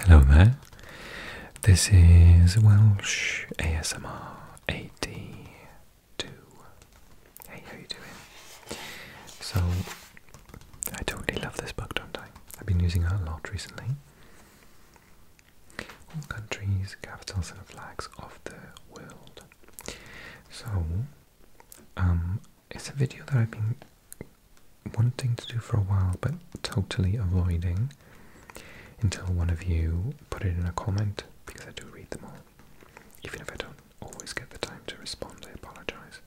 Hello there, this is Welsh ASMR 82. Hey, how you doing? So, I totally love this book, don't I? I've been using it a lot recently. All countries, capitals and flags of the world. So, um, it's a video that I've been wanting to do for a while but totally avoiding until one of you put it in a comment because I do read them all. Even if I don't always get the time to respond, I apologize.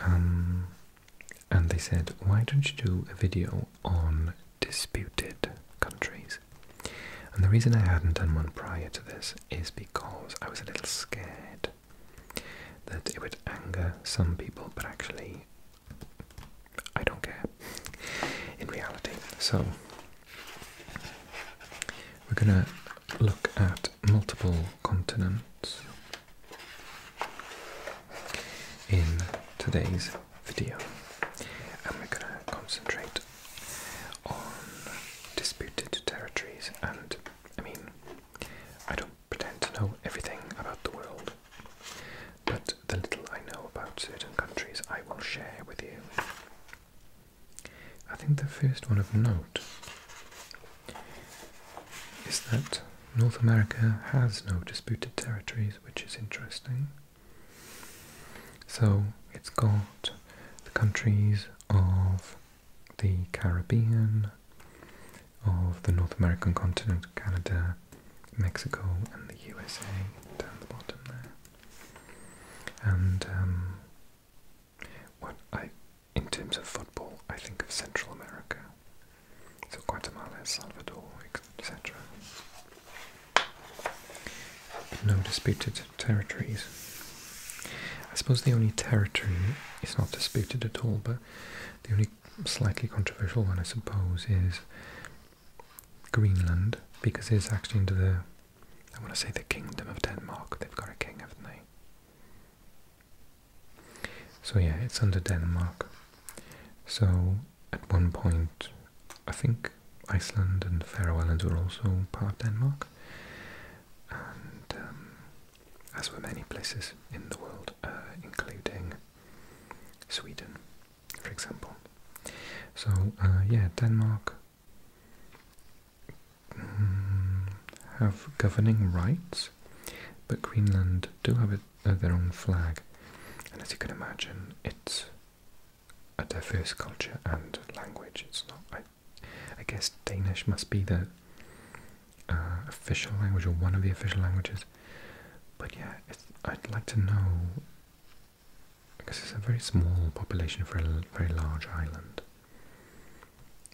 Um, and they said, why don't you do a video on disputed countries? And the reason I hadn't done one prior to this is because I was a little scared that it would anger some people, but actually I don't care in reality. So we're gonna look at multiple continents in today's video, and we're gonna concentrate on disputed territories. And I mean, I don't pretend to know everything about the world, but the little I know about certain countries I will share with you. I think the first one of note is that North America has no disputed territories, which is interesting. So it's got the countries of the Caribbean, of the North American continent, Canada, Mexico, and the USA down the bottom there. And um, what I, in terms of football, I think of Central America, so Guatemala, El Salvador, etc. No disputed territories. I suppose the only territory is not disputed at all, but the only slightly controversial one, I suppose, is Greenland, because it's actually under the, I want to say the Kingdom of Denmark. They've got a king, haven't they? So yeah, it's under Denmark. So at one point, I think Iceland and Faroe Islands were also part of Denmark. Um, as were many places in the world, uh, including Sweden, for example. So, uh, yeah, Denmark mm, have governing rights, but Greenland do have uh, their own flag, and as you can imagine, it's a diverse culture and language. It's not I guess Danish must be the uh, official language or one of the official languages. But yeah, I'd like to know because it's a very small population for a very large island.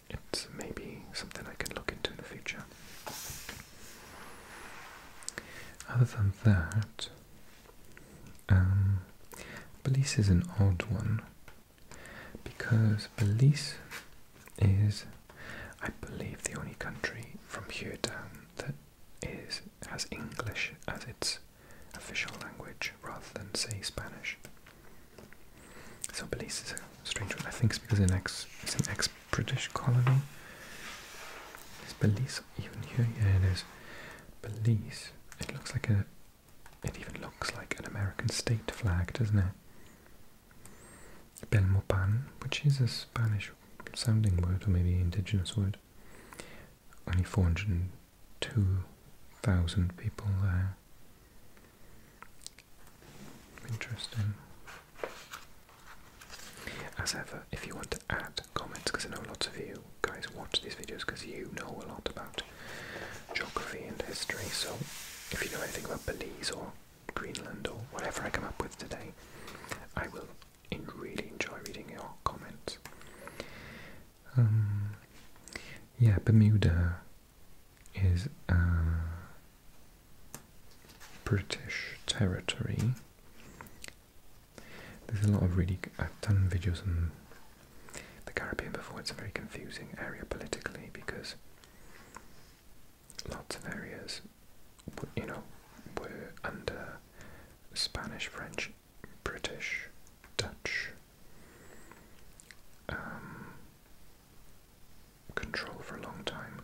It's maybe something I could look into in the future. Other than that, um, Belize is an odd one because Belize is, I believe, the only country from here down that is has English as its official language rather than say Spanish. So Belize is a strange one. I think because it's an ex it's ex British colony. Is Belize even here? Yeah, it is. Belize. It looks like a. It even looks like an American state flag, doesn't it? Belmopan, which is a Spanish sounding word or maybe indigenous word. Only 402,000 people there. Interesting. As ever, if you want to add comments, because I know lots of you guys watch these videos because you know a lot about geography and history. So if you know anything about Belize or Greenland or whatever I come up with today, I will really enjoy reading your comments. Um, yeah, Bermuda is uh, British territory. There's a lot of really. I've done videos on the Caribbean before. It's a very confusing area politically because lots of areas, you know, were under Spanish, French, British, Dutch um, control for a long time.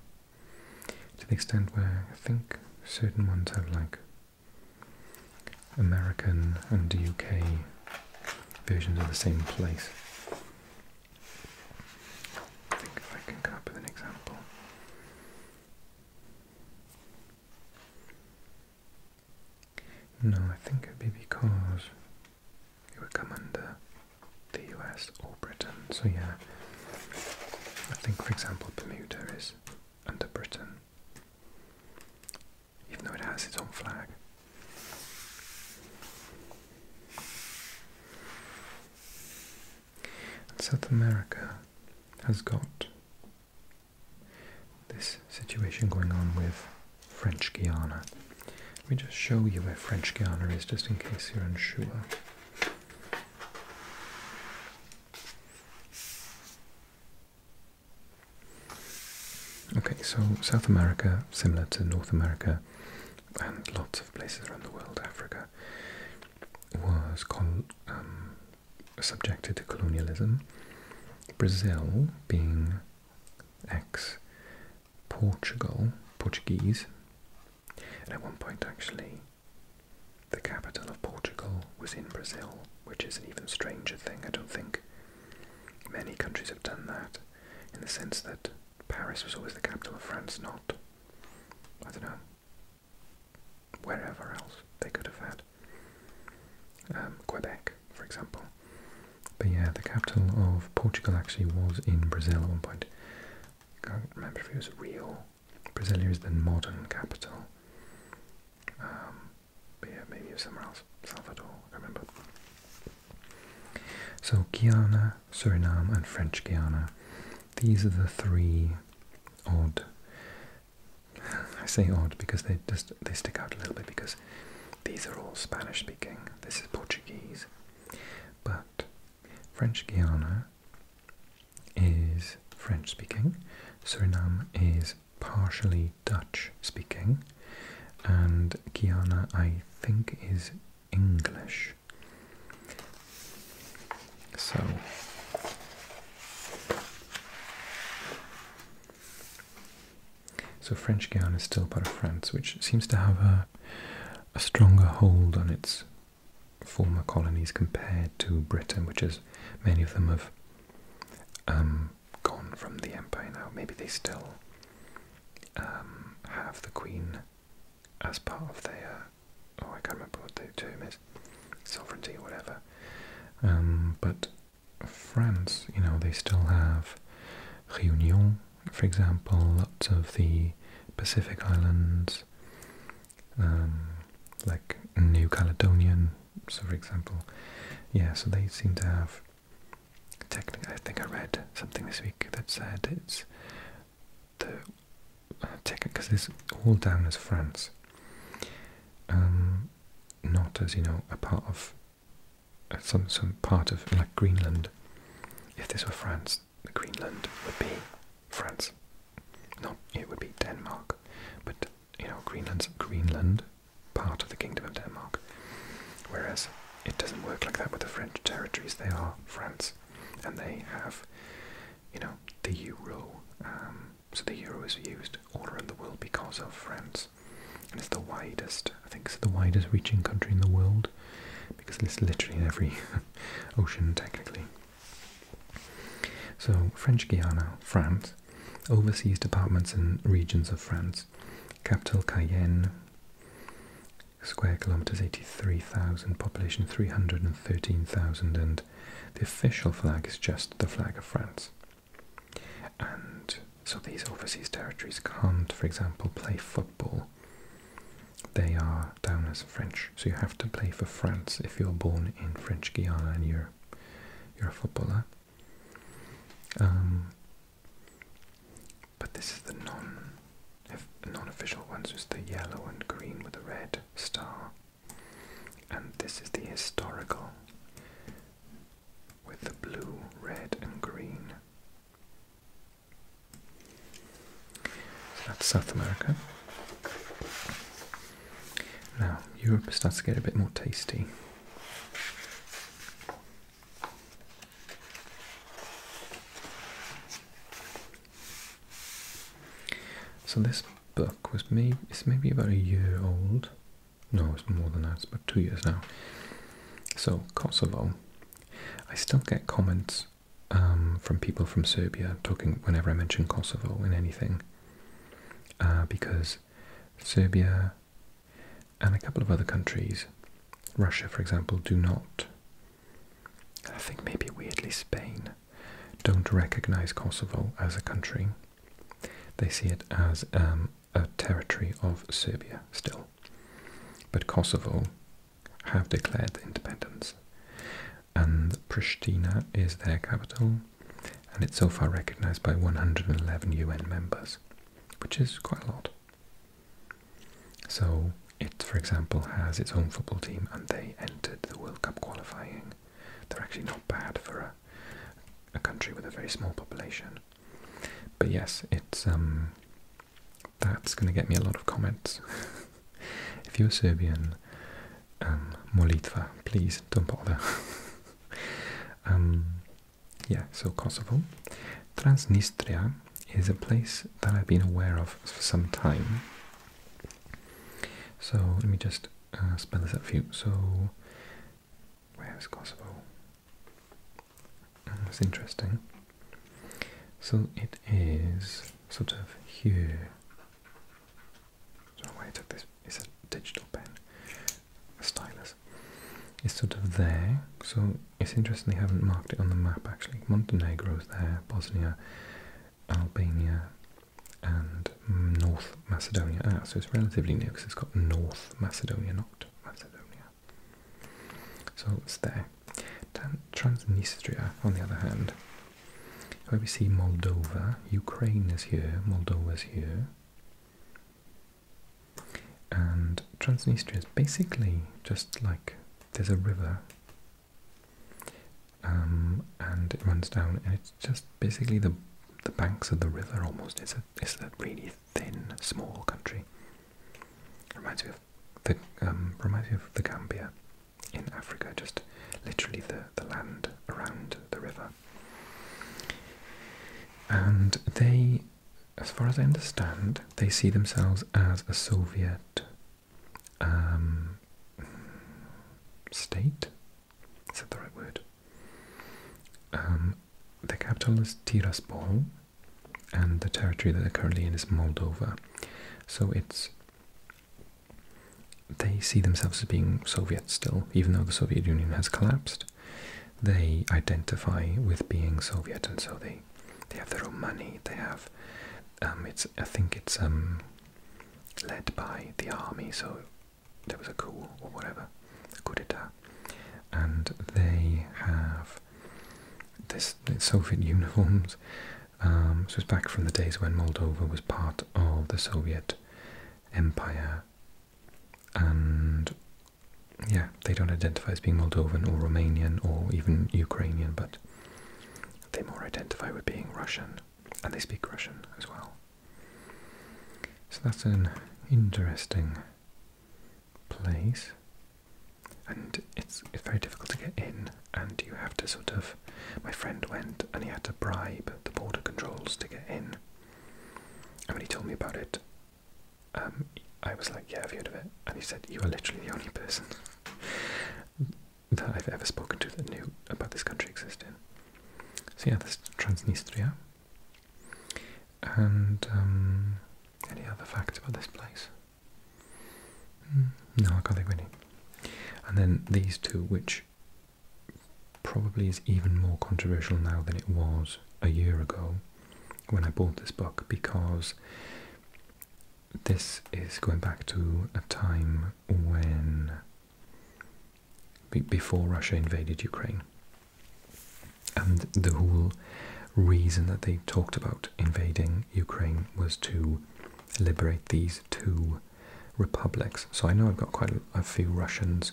To the extent where I think certain ones have like American and UK versions of the same place. I think if I can come up with an example. No, I think it'd be because it would come under the US or Britain. So yeah, I think for example Bermuda is under Britain, even though it has its own flag. South America has got this situation going on with French Guiana. Let me just show you where French Guiana is, just in case you're unsure. Okay, so South America, similar to North America, and lots of places around the world, Africa, was um, subjected to colonialism. Brazil being ex Portugal, Portuguese, and at one point actually the capital of Portugal was in Brazil, which is an even stranger thing. I don't think many countries have done that in the sense that Paris was always the capital of France, not, I don't know, wherever else they could have had. Um, Quebec, for example. But yeah, the capital of Portugal actually was in Brazil at one point. I can't remember if it was Rio. Brazil is the modern capital. Um, but yeah, maybe it was somewhere else. Salvador, remember. So Guyana, Suriname and French Guiana, these are the three odd, I say odd because they just they stick out a little bit because these are all Spanish speaking, this is Portuguese, but French Guiana is French speaking, Suriname is partially Dutch speaking, and Kiana, I think, is English. So, so French Guiana is still part of France, which seems to have a, stronger hold on its former colonies compared to Britain, which is many of them have um, gone from the empire now. Maybe they still um, have the queen as part of their oh I can't remember what the term is, sovereignty or whatever. Um, but France, you know, they still have Réunion, for example, lots of the Pacific Islands, um, like New Caledonian, so for example, yeah. So they seem to have Technically, I think I read something this week that said it's the uh, technique because it's all down as France, um, not as you know a part of uh, some some part of like Greenland. If this were France, Greenland would be France. Not it would be Denmark, but you know Greenland's Greenland part of the Kingdom of Denmark. Whereas it doesn't work like that with the French territories. They are France, and they have, you know, the euro. Um, so the euro is used all around the world because of France, and it's the widest. I think it's the widest reaching country in the world because it's literally in every ocean technically. So French Guiana, France, overseas departments and regions of France, capital Cayenne, square kilometers, 83,000, population 313,000, and the official flag is just the flag of France. And so these overseas territories can't, for example, play football. They are down as French, so you have to play for France if you're born in French Guiana and you're you're a footballer. Um, but this is the non non official ones, is the yellow and green with the red star. And this is the historical with the blue, red, and green. So that's South America. Now, Europe starts to get a bit more tasty. So this book was maybe it's maybe about a year old. No, it's more than that. It's about two years now. So Kosovo, I still get comments um, from people from Serbia talking whenever I mention Kosovo in anything, uh, because Serbia and a couple of other countries, Russia for example, do not. I think maybe weirdly Spain don't recognize Kosovo as a country. They see it as um, a territory of Serbia still. But Kosovo have declared independence. And Pristina is their capital, and it's so far recognized by 111 UN members, which is quite a lot. So it, for example, has its own football team and they entered the World Cup qualifying. They're actually not bad for a, a country with a very small population. But yes, it's um, that's going to get me a lot of comments. if you're Serbian, um, Molitva, please don't bother. Um, yeah, so Kosovo. Transnistria is a place that I've been aware of for some time. So let me just uh, spell this out for you. So, where is Kosovo? Mm, that's interesting. So it is sort of here. I I took this. It's a digital pen, a stylus. Alex is sort of there. So it's interesting they haven't marked it on the map actually. Montenegro is there, Bosnia, Albania, and North Macedonia. Ah, so it's relatively new because it's got North Macedonia, not Macedonia. So it's there. Transnistria, on the other hand, where we see Moldova, Ukraine is here, Moldova is here. And Transnistria is basically just like there's a river um, and it runs down, and it's just basically the the banks of the river almost. It's a it's a really thin, small country. Reminds me of the um, reminds me of the Gambia in Africa, just literally the, the land around the river. And they as far as I understand, they see themselves as a Soviet um, state. Is that the right word? Um, the capital is Tiraspol, and the territory that they're currently in is Moldova. So it's they see themselves as being Soviet still, even though the Soviet Union has collapsed they identify with being Soviet, and so they they have their own money. They have um, it's I think it's um, led by the army, so there was a coup or whatever, a coup d'état, and they have this Soviet uniforms. Um, so it's back from the days when Moldova was part of the Soviet Empire and yeah, they don't identify as being Moldovan or Romanian or even Ukrainian, but they more identify with being Russian, and they speak Russian as well. So that's an interesting place, and it's it's very difficult to get in, and you have to sort of. My friend went, and he had to bribe the border controls to get in. And when he told me about it, um, I was like, yeah, have you heard of it. And he said, you are literally the only person that I've ever spoken to that knew about this country existing. So yeah, this Transnistria. And um, any other facts about this place? Hmm, no, I can't think of any. And then these two, which probably is even more controversial now than it was a year ago when I bought this book because this is going back to a time when before Russia invaded Ukraine. And the whole reason that they talked about invading Ukraine was to liberate these two republics. So I know I've got quite a few Russians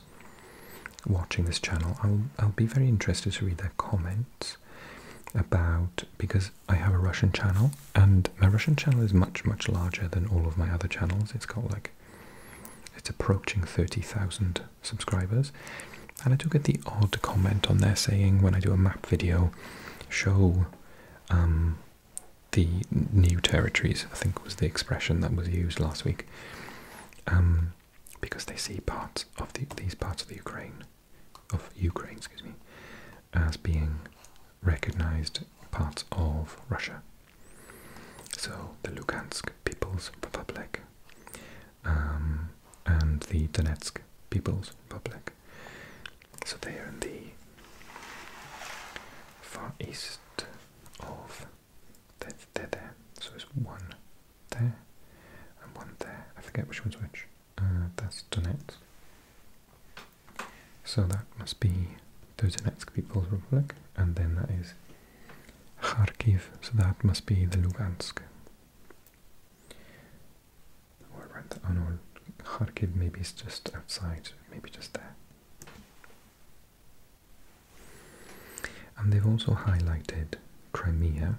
watching this channel, I'll, be very interested to read their comments about, because I have a Russian channel, and my Russian channel is much, much larger than all of my other channels. It's got like, it's approaching 30,000 subscribers. And I do get the odd comment on there saying when I do a map video, show um, the new territories, I think was the expression that was used last week. Um, because they see parts of these parts of the Ukraine, of Ukraine, excuse me, as being recognized parts of Russia. So the Lugansk People's Republic um, and the Donetsk People's Republic. So they are in the far east of they're, there. So it's one there and one there. I forget which one's which. Uh, that's Donetsk. So that must be those Donetsk People's Republic, and then that is Kharkiv. So that must be the Lugansk. Or right, oh no, Kharkiv maybe it's just outside, maybe just there. And they've also highlighted Crimea.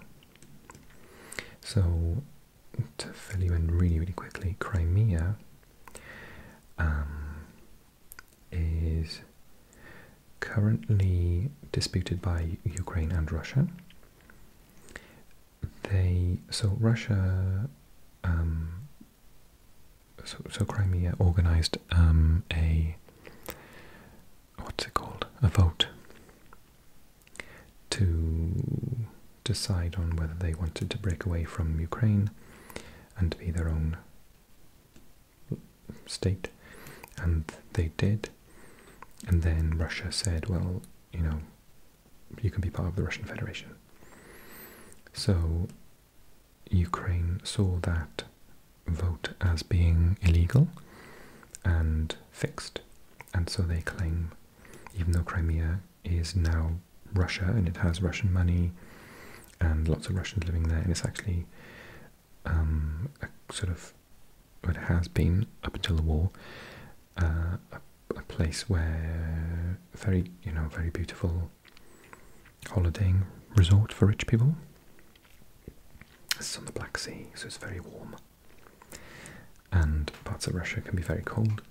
So, to fill you in really, really quickly, Crimea um, is currently disputed by Ukraine and Russia. They so Russia, um, so, so Crimea organized um, a what's it called? A vote to decide on whether they wanted to break away from Ukraine and be their own state, and they did. And then Russia said, well, you know, you can be part of the Russian Federation. So Ukraine saw that vote as being illegal and fixed, and so they claim, even though Crimea is now Russia and it has Russian money and lots of Russians living there, and it's actually um, a sort of it has been up until the war uh, a place where very you know very beautiful holidaying resort for rich people. This is on the Black Sea, so it's very warm. And parts of Russia can be very cold,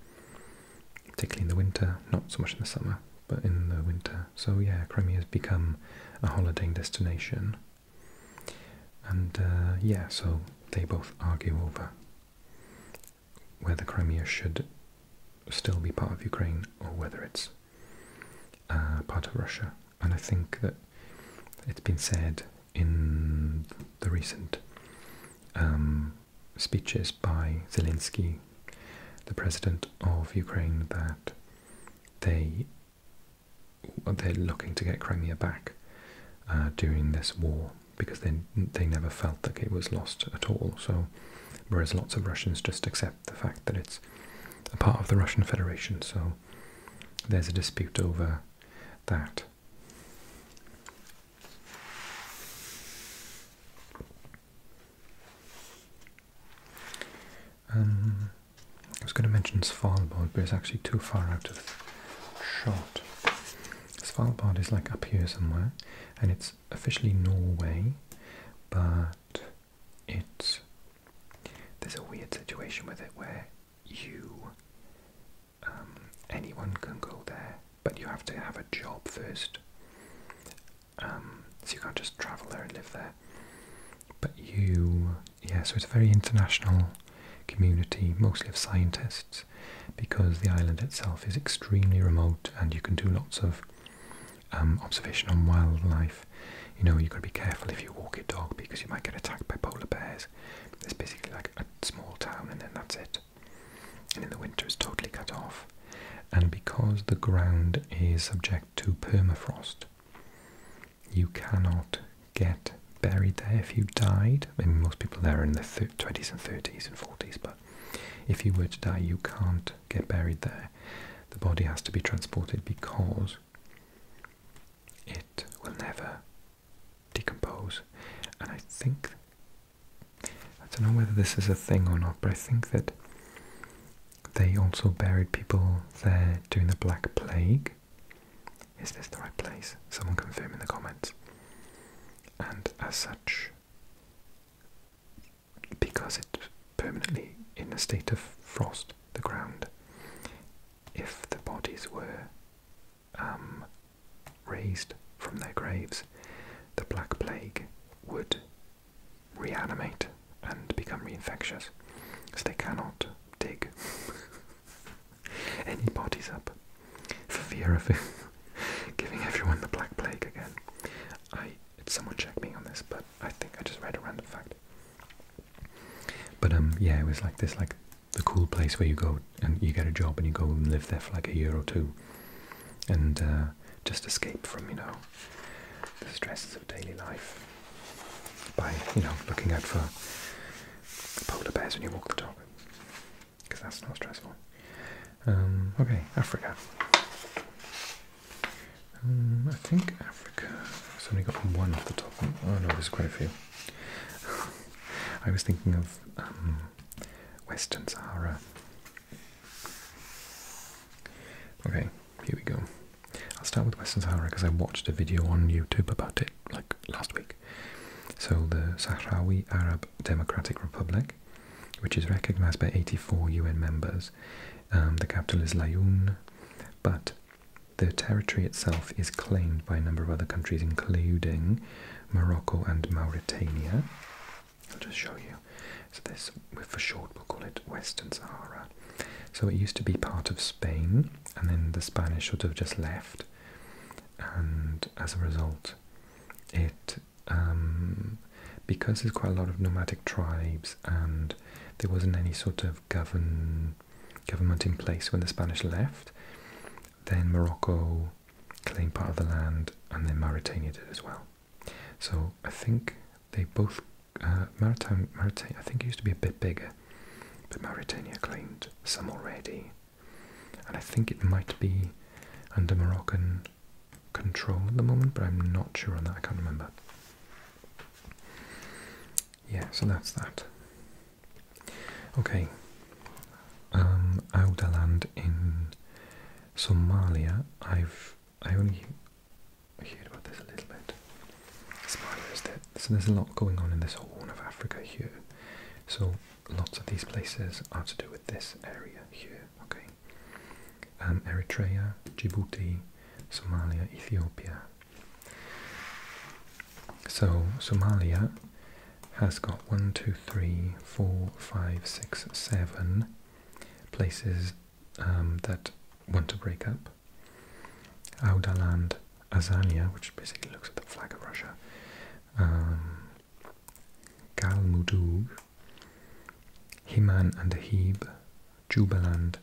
particularly in the winter, not so much in the summer, but in the winter. So, yeah, Crimea has become a holidaying destination. And uh, yeah, so they both argue over whether Crimea should still be part of Ukraine or whether it's uh, part of Russia and I think that it's been said in the recent um, speeches by Zelensky, the president of Ukraine, that they they're looking to get Crimea back uh, during this war because they they never felt like it was lost at all. So, whereas lots of Russians just accept the fact that it's a part of the Russian Federation, so there's a dispute over that. Um, I was going to mention Svalbard, but it's actually too far out of shot. Svalbard is like up here somewhere, and it's officially Norway, but it's there's a weird situation with it where you um, anyone can go there, but you have to have a job first. Um, so you can't just travel there and live there. But you, yeah, so it's a very international community, mostly of scientists, because the island itself is extremely remote and you can do lots of um, observation on wildlife. You know, you've got to be careful if you walk your dog because you might get attacked by polar bears. It's basically like a small town and then that's it. And in the winter it's totally cut off. And because the ground is subject to permafrost, you cannot get buried there if you died. I most people there are in their 20s and 30s and 40s, but if you were to die, you can't get buried there. The body has to be transported because it will never decompose, and I think I don't know whether this is a thing or not, but I think that they also buried people there during the Black Plague. Is this the right place? Someone confirm in the comments. And as such, because it's permanently in a state of frost, the ground, if the bodies were um, raised from their graves, the Black Plague would reanimate and become reinfectious. So they cannot dig any bodies up for fear of giving everyone the Black Plague again. I someone check me on this, but I think I just read a random fact. But um, yeah, it was like this, like the cool place where you go and you get a job and you go and live there for like a year or two, and uh, just escape from you know the stresses of daily life by you know looking out for polar bears when you walk the dog, because that's not stressful. Um, okay, Africa. Um, I think Africa. I've only got one off the top. Oh no, there's quite a few. I was thinking of um, Western Sahara. Okay, here we go. I'll start with Western Sahara because I watched a video on YouTube about it like last week. So, the Sahrawi Arab Democratic Republic, which is recognized by 84 UN members, um, the capital is Laon, but the territory itself is claimed by a number of other countries, including Morocco and Mauritania. I'll just show you. So this, for short, we'll call it Western Sahara. So it used to be part of Spain, and then the Spanish should have just left, and as a result, it um, because there's quite a lot of nomadic tribes and there wasn't any sort of govern government in place when the Spanish left. Then Morocco claimed part of the land, and then Mauritania did as well. So I think they both uh, Mauritania. Mauritania I think it used to be a bit bigger, but Mauritania claimed some already, and I think it might be under Moroccan control at the moment, but I'm not sure on that. I can't remember. Yeah, so that's that. Okay, um, Audaland in Somalia. I've I only heard about this a little bit. Somalia so there's a lot going on in this horn of Africa here. So lots of these places are to do with this area here. Okay, um, Eritrea, Djibouti, Somalia, Ethiopia. So Somalia has got one, two, three, four, five, six, seven places um, that want to break up. Audaland, Azania, which basically looks at the flag of Russia, um, Mudug, Himan and Ahib, Jubaland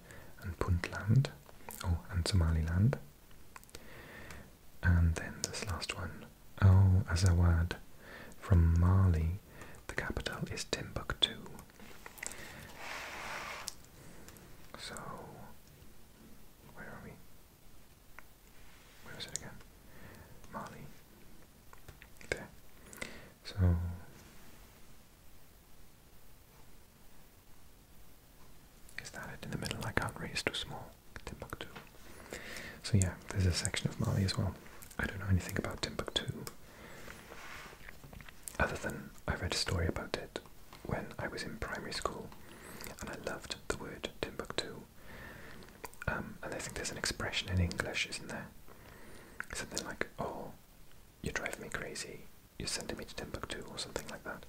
and Puntland, oh, and Somaliland. And then this last one, oh, Al Azawad from Mali, the capital is Timbuktu. So, where are we? Where is it again? Mali. There. So is that it in the middle? I can't too small. Timbuktu. So yeah, there's a section of Mali as well. I don't know anything about Timbuktu. Other than I read a story about it when I was in primary school and I loved the word Timbuktu. Um, and I think there's an expression in English, isn't there? Something like, oh, you drive me crazy, you're sending me to Timbuktu or something like that.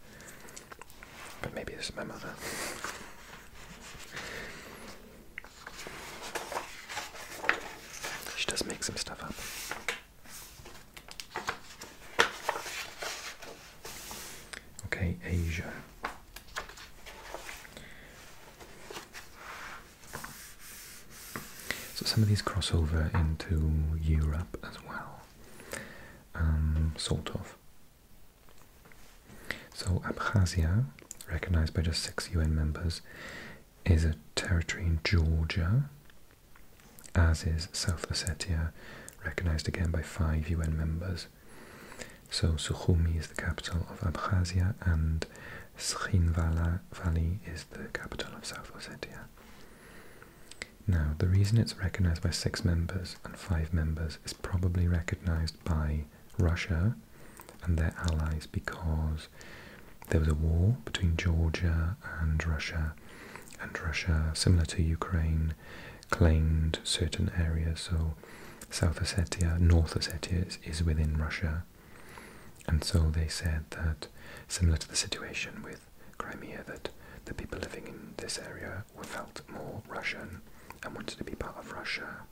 But maybe it's my mother. she does make some stuff up. Okay, Asia. So some of these cross over into Europe as well, um, sort of. So Abkhazia, recognized by just six UN members, is a territory in Georgia, as is South Ossetia, recognized again by five UN members. So Sukhumi is the capital of Abkhazia and Srinvala Valley is the capital of South Ossetia. Now, the reason it's recognized by six members and five members is probably recognized by Russia and their allies because there was a war between Georgia and Russia, and Russia, similar to Ukraine, claimed certain areas. So, South Ossetia, North Ossetia is within Russia, and so they said that, similar to the situation with Crimea, that the people living in this area were felt more Russian and wanted to be part of Russia.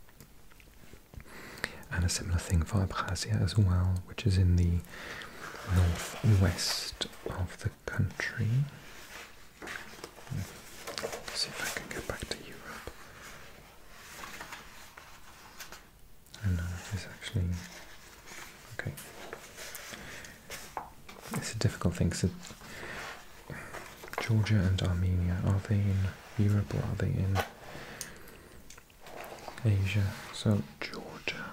And a similar thing for Abkhazia as well, which is in the northwest of the country. see if I can get back to Europe. I know if actually. Okay. It's a difficult thing. So Georgia and Armenia, are they in Europe or are they in Asia? So Georgia.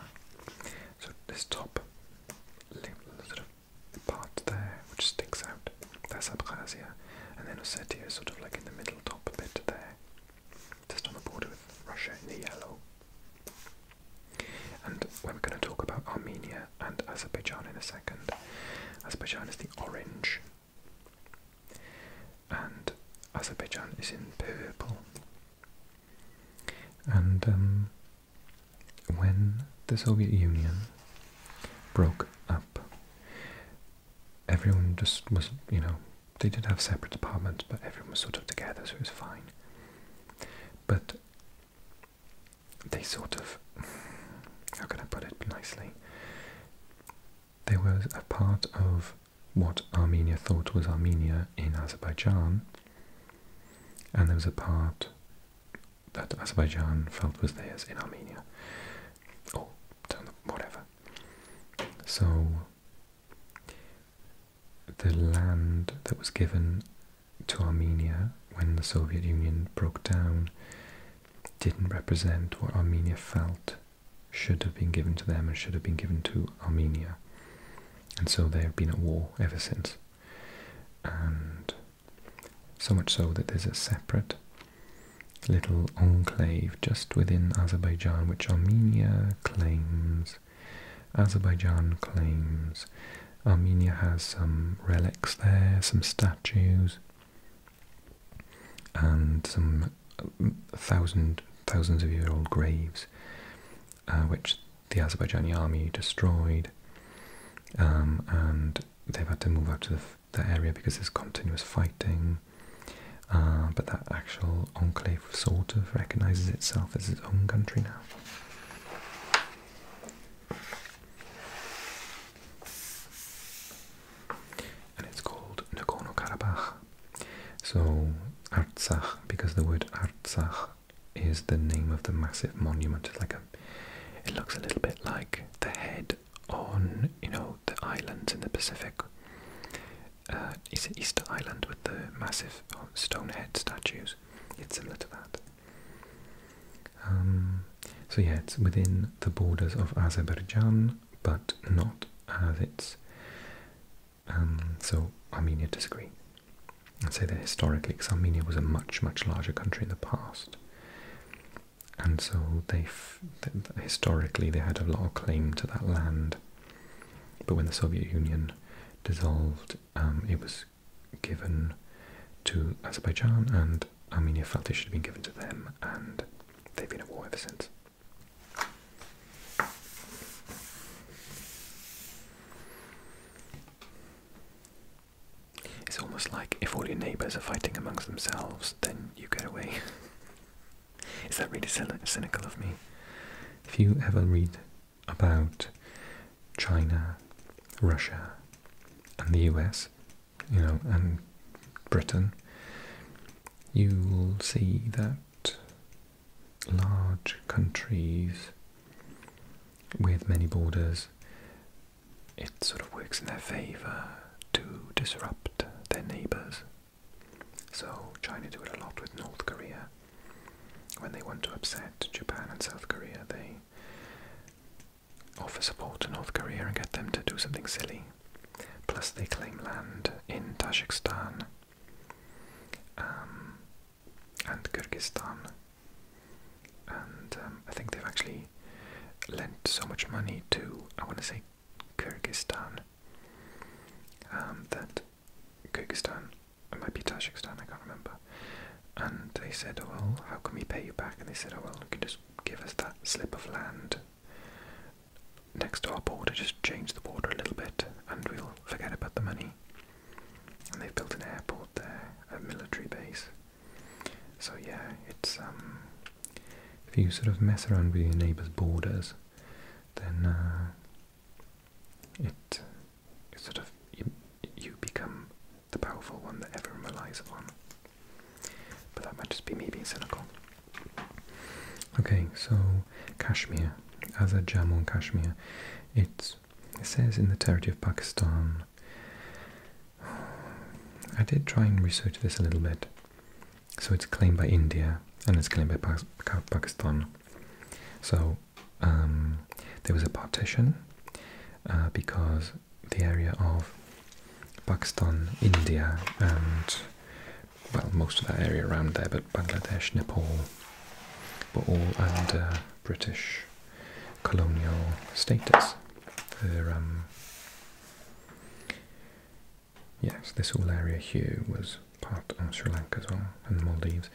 So this top little sort of part there which sticks out, that's Abkhazia. And then Ossetia is sort of like in the middle top bit there just on the border with Russia in the yellow. And we're going to talk about Armenia and Azerbaijan in a second. Azerbaijan is the orange, and Azerbaijan is in purple. And um, when the Soviet Union broke up, everyone just was, you know, they did have separate apartments, but everyone was sort of together, so it was fine. But they sort of, how can I put it nicely? They were a part of what Armenia thought was Armenia in Azerbaijan, and there was a part that Azerbaijan felt was theirs in Armenia, or whatever. So the land that was given to Armenia when the Soviet Union broke down didn't represent what Armenia felt should have been given to them and should have been given to Armenia. And so they have been at war ever since. And so much so that there's a separate little enclave just within Azerbaijan, which Armenia claims. Azerbaijan claims. Armenia has some relics there, some statues, and some uh, thousand thousands of year old graves, uh, which the Azerbaijani army destroyed, um, and they've had to move out of the area because there's continuous fighting. Uh, but that actual enclave sort of recognizes itself as its own country now. And it's called Nagorno-Karabakh. So Artsakh, because the word Artsakh is the name of the massive monument. like a, it looks a little bit like the head on, you know, the islands in the Pacific uh, is Easter Island with the massive oh, stone head statues? It's similar to that. Um, so yeah, it's within the borders of Azerbaijan, but not as its. Um, so Armenia disagree and say that historically, because Armenia was a much much larger country in the past, and so they, they historically they had a lot of claim to that land. But when the Soviet Union dissolved, um, it was given to Azerbaijan, and Armenia felt it should have been given to them, and they've been at war ever since. It's almost like if all your neighbours are fighting amongst themselves, then you get away. Is that really cynical of me? If you ever read about China, Russia, and the US, you know, and Britain, you will see that large countries with many borders, it sort of works in their favour to disrupt their neighbours. So China do it a lot with North Korea. When they want to upset Japan and South Korea, they offer support to North Korea and get them to do something silly. Plus, they claim land in Tajikistan um, and Kyrgyzstan. And um, I think they've actually lent so much money to, I want to say, Kyrgyzstan um, that Kyrgyzstan, it might be Tajikistan, I can't remember. And they said, oh, well, how can we pay you back? And they said, oh, well, you can just give us that slip of land next to our border, just change the border a little bit, and we'll forget about the money. And they've built an airport there, a military base. So yeah, it's um, if you sort of mess around with your neighbour's borders, then uh, it, sort of you, you become the powerful one that everyone relies on, But that might just be me being cynical. Okay, so Kashmir, as a Jammu and Kashmir, it says in the territory of Pakistan. I did try and research this a little bit. So it's claimed by India and it's claimed by Pakistan. So um, there was a partition uh, because the area of Pakistan, India, and well, most of that area around there, but Bangladesh, Nepal, were all under British colonial status. Yes, this whole area here was part of Sri Lanka as well, and the Maldives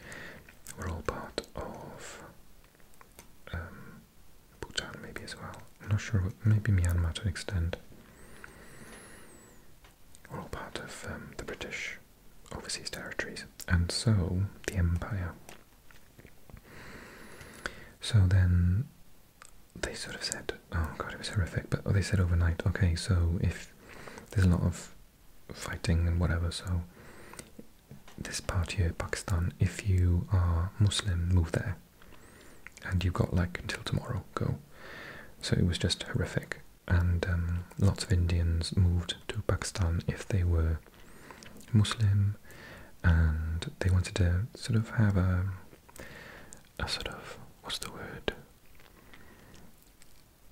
were all part of um, Bhutan maybe as well. I'm not sure, maybe Myanmar to an extent. Were all part of um, the British overseas territories, and so the empire. So then they sort of said, Oh god, it was horrific. But oh, they said overnight. Okay, so if there's a lot of fighting and whatever, so this part here, Pakistan, if you are Muslim, move there. And you've got like until tomorrow, go. So it was just horrific. And um, lots of Indians moved to Pakistan if they were Muslim and they wanted to sort of have a a sort of what's the word?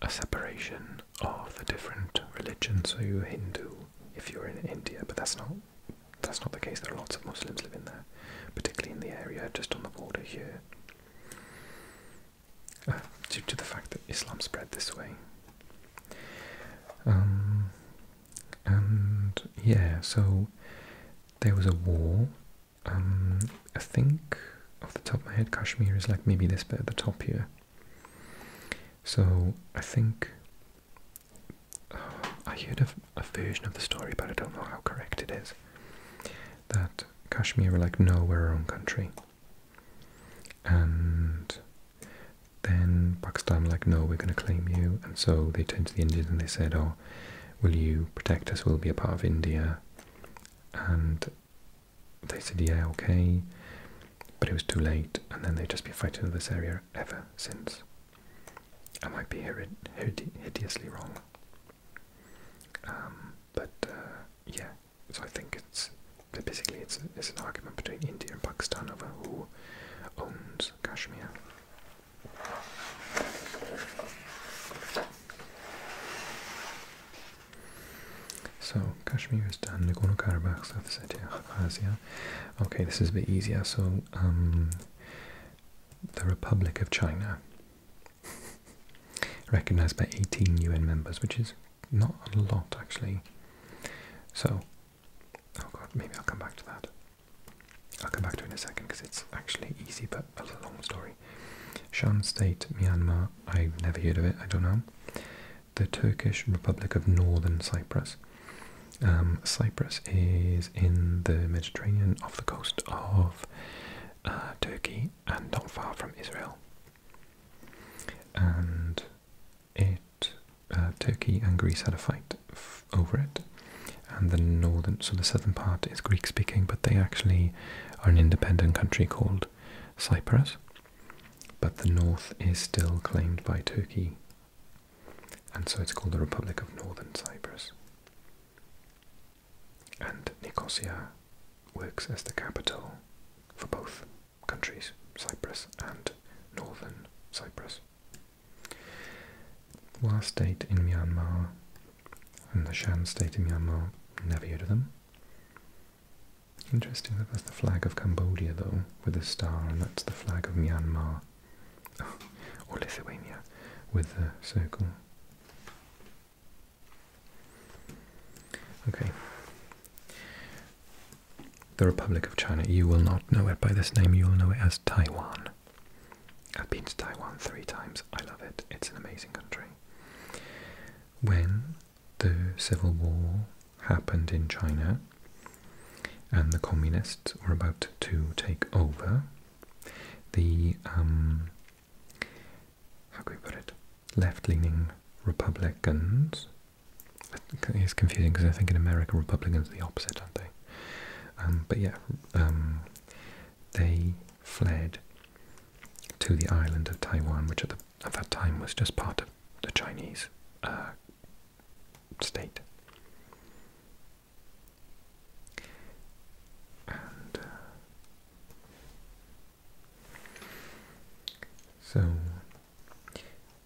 A separation of the different religions. So you're Hindu if you're in India, but that's not that's not the case. There are lots of Muslims living there, particularly in the area just on the border here. Ah, due to the fact that Islam spread this way. Um, and yeah, so there was a war um, I think off the top of my head, Kashmir is like maybe this bit at the top here. So I think I heard a, version of the story, but I don't know how correct it is. That Kashmir were like, no, we're our own country, and then Pakistan were like, no, we're going to claim you, and so they turned to the Indians and they said, oh, will you protect us? We'll be a part of India and they said, yeah, okay, but it was too late, and then they've just been fighting in this area ever since. I might be hide hideously wrong. Um, but uh, yeah, so I think it's basically it's an argument between India and Pakistan over who owns Kashmir. So, Kashmiristan, Nagorno-Karabakh, South Ossetia, Abkhazia. Okay, this is a bit easier. So, um, the Republic of China, recognized by 18 UN members, which is not a lot actually. So, oh god, maybe I'll come back to that. I'll come back to it in a second because it's actually easy but a long story. Shan State, Myanmar, I've never heard of it, I don't know. The Turkish Republic of Northern Cyprus. Um, Cyprus is in the Mediterranean off the coast of uh, Turkey and not far from Israel. And it, uh, Turkey and Greece had a fight over it and the northern, so the southern part is Greek-speaking, but they actually are an independent country called Cyprus. But the north is still claimed by Turkey, and so it's called the Republic of Northern Cyprus. And Nicosia works as the capital for both countries, Cyprus and Northern Cyprus. Last date in Myanmar and the Shan state in Myanmar never heard of them. Interesting that that's the flag of Cambodia though, with the star, and that's the flag of Myanmar, or Lithuania, with the circle. Okay. The Republic of China, you will not know it by this name, you will know it as Taiwan. I've been to Taiwan three times. I love it. It's an amazing country. When the Civil War happened in China and the communists were about to take over, the, um, how can we put it, left-leaning Republicans, it's confusing because I think in America Republicans are the opposite, aren't they? Um, but yeah, um, they fled to the island of Taiwan, which at, the, at that time was just part of the Chinese uh, state. Uh, so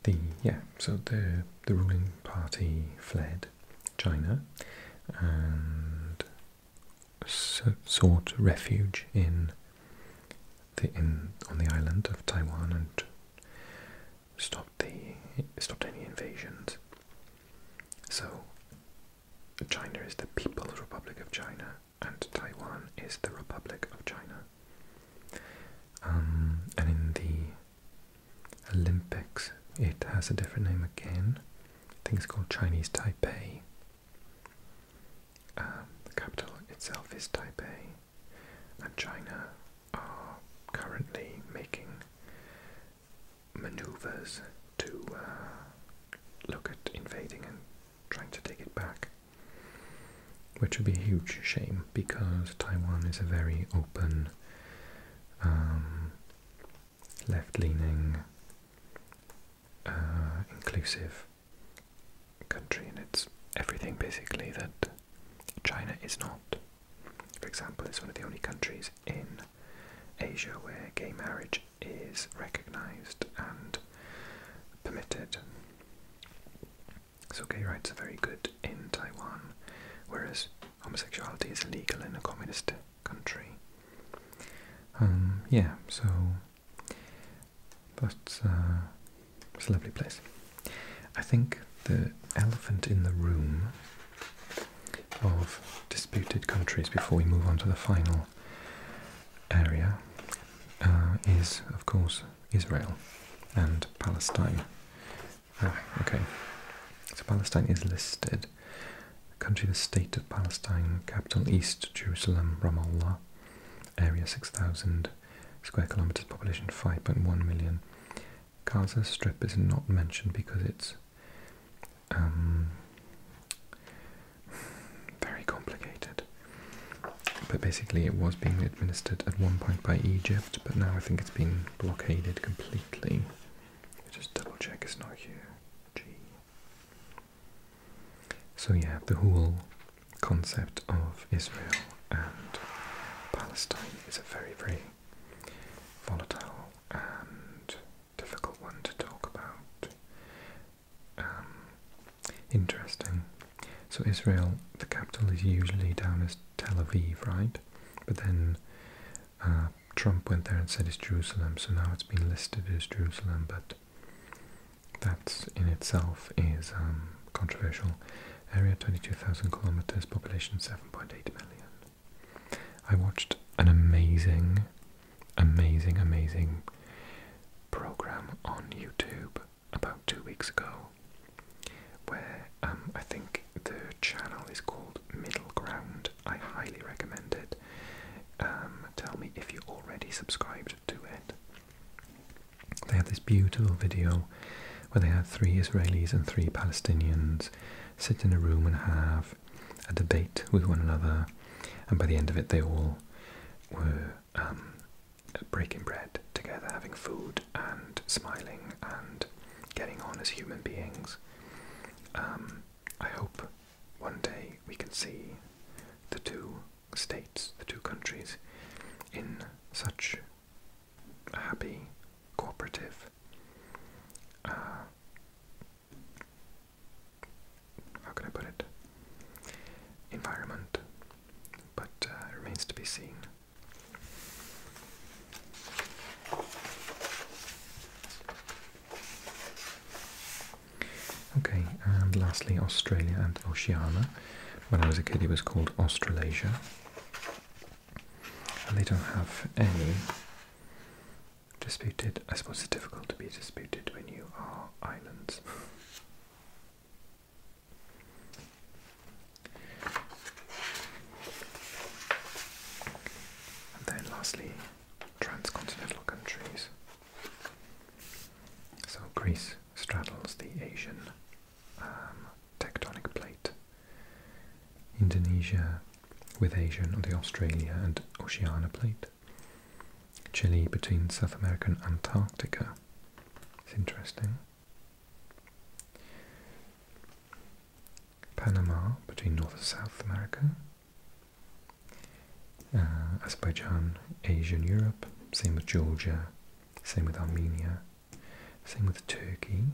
the yeah, so the the ruling party fled China, and sought refuge in the in on the island of Taiwan and stopped the stopped any invasions. So China is the People's Republic of China and Taiwan is the Republic of China. Um, and in the Olympics, it has a different name again. Things called Chinese Taipei. Um, the capital itself is Taipei, and China are currently making maneuvers to uh, look at invading and trying to take it back, which would be a huge shame because Taiwan is a very open. Um, left-leaning, uh, inclusive country, and it's everything basically that China is not. For example, it's one of the only countries in Asia where gay marriage is recognised and permitted. So gay rights are very good in Taiwan, whereas homosexuality is illegal in a communist country. Um, yeah, so but uh, it's a lovely place. I think the elephant in the room of disputed countries before we move on to the final area uh, is, of course, Israel and Palestine. Ah, okay. So Palestine is listed country, the state of Palestine, capital East Jerusalem, Ramallah, area 6,000 square kilometers, population 5.1 million. Gaza Strip is not mentioned because it's um, very complicated. But basically, it was being administered at one point by Egypt, but now I think it's been blockaded completely. Just double check it's not here. G. So yeah, the whole concept of Israel and Palestine is a very, very volatile and difficult one to talk about. Um, interesting. So Israel, the capital is usually down as Tel Aviv, right? But then uh, Trump went there and said it's Jerusalem, so now it's been listed as Jerusalem, but that in itself is um, controversial. Area 22,000 kilometers, population 7.8 million. I watched an amazing, amazing, amazing program on YouTube about two weeks ago where um, I think the channel is called Middle Ground. I highly recommend it. Um, tell me if you already subscribed to it. They had this beautiful video where they had three Israelis and three Palestinians sit in a room and have a debate with one another, and by the end of it, they all were um, breaking bread together, having food, and smiling and getting on as human beings. Um, I hope one day we can see the two states, the two countries, in such a happy, cooperative, uh, how can I put it, environment, but uh, remains to be seen. Okay, and lastly, Australia and Oceania. When I was a kid, it was called Australasia. And they don't have any disputed. I suppose it's difficult to be disputed when you are islands. and then lastly, transcontinental countries. So Greece straddles the Asian um, tectonic plate. Indonesia with Asian and the Australia and Oceania plate. Chile between South America and Antarctica. It's interesting. Panama between North and South America, uh, Azerbaijan, Asia and Europe, same with Georgia, same with Armenia, same with Turkey.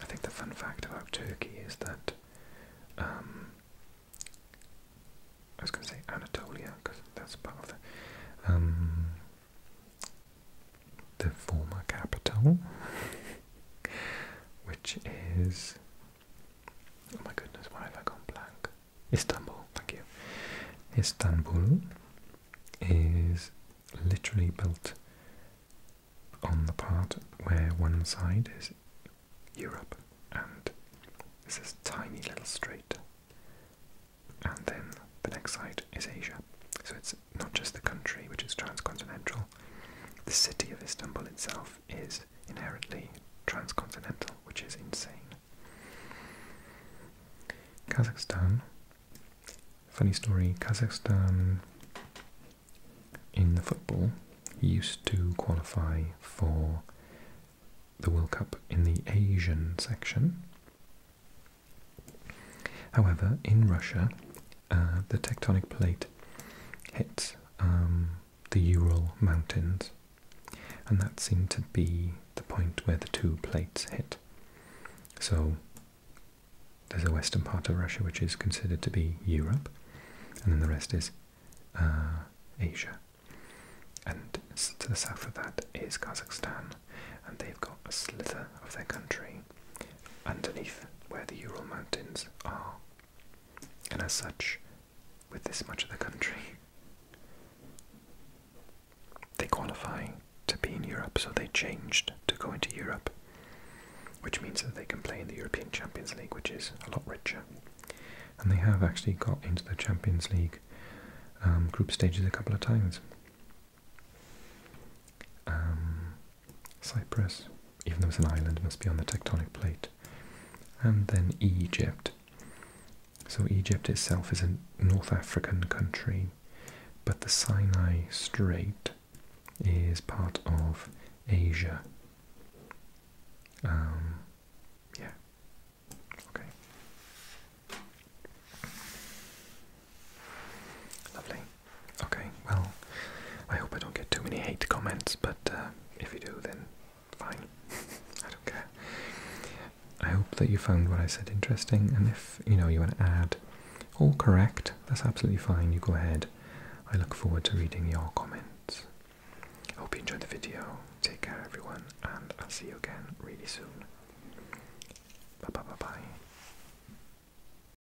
I think the fun fact about Turkey is that um, I was going to say Anatolia because that's part of the um, the former capital. which is oh my goodness, why have I gone blank? Istanbul, thank you. Istanbul is literally built on the part where one side is Europe and this is tiny little strait, and then the next side is Asia. So it's not just the country, which is transcontinental, the city of Istanbul itself is inherently transcontinental, which is insane. Kazakhstan. Funny story Kazakhstan in the football used to qualify for the World Cup in the Asian section. However, in Russia, uh, the tectonic plate hits um, the Ural Mountains, and that seemed to be the point where the two plates hit. So there's a western part of Russia which is considered to be Europe, and then the rest is uh, Asia. And to the south of that is Kazakhstan, and they've got a slither of their country underneath where the Ural Mountains are, and as such, with this much of the country, they qualify to be in Europe, so they changed to go into Europe, which means that they can play in the European Champions League, which is a lot richer. And they have actually got into the Champions League um, group stages a couple of times. Um, Cyprus, even though it's an island, must be on the tectonic plate. And then Egypt. So Egypt itself is a North African country, but the Sinai Strait is part of Asia. Um, yeah. Okay. Lovely. Okay, well, I hope I don't get too many hate comments, but uh, if you do, then fine. I don't care. I hope that you found what I said interesting, and if you know you want to add or correct, that's absolutely fine. You go ahead. I look forward to reading your comments. I hope you enjoyed the video. Take care, everyone, and I'll see you again really soon. Bye bye bye bye.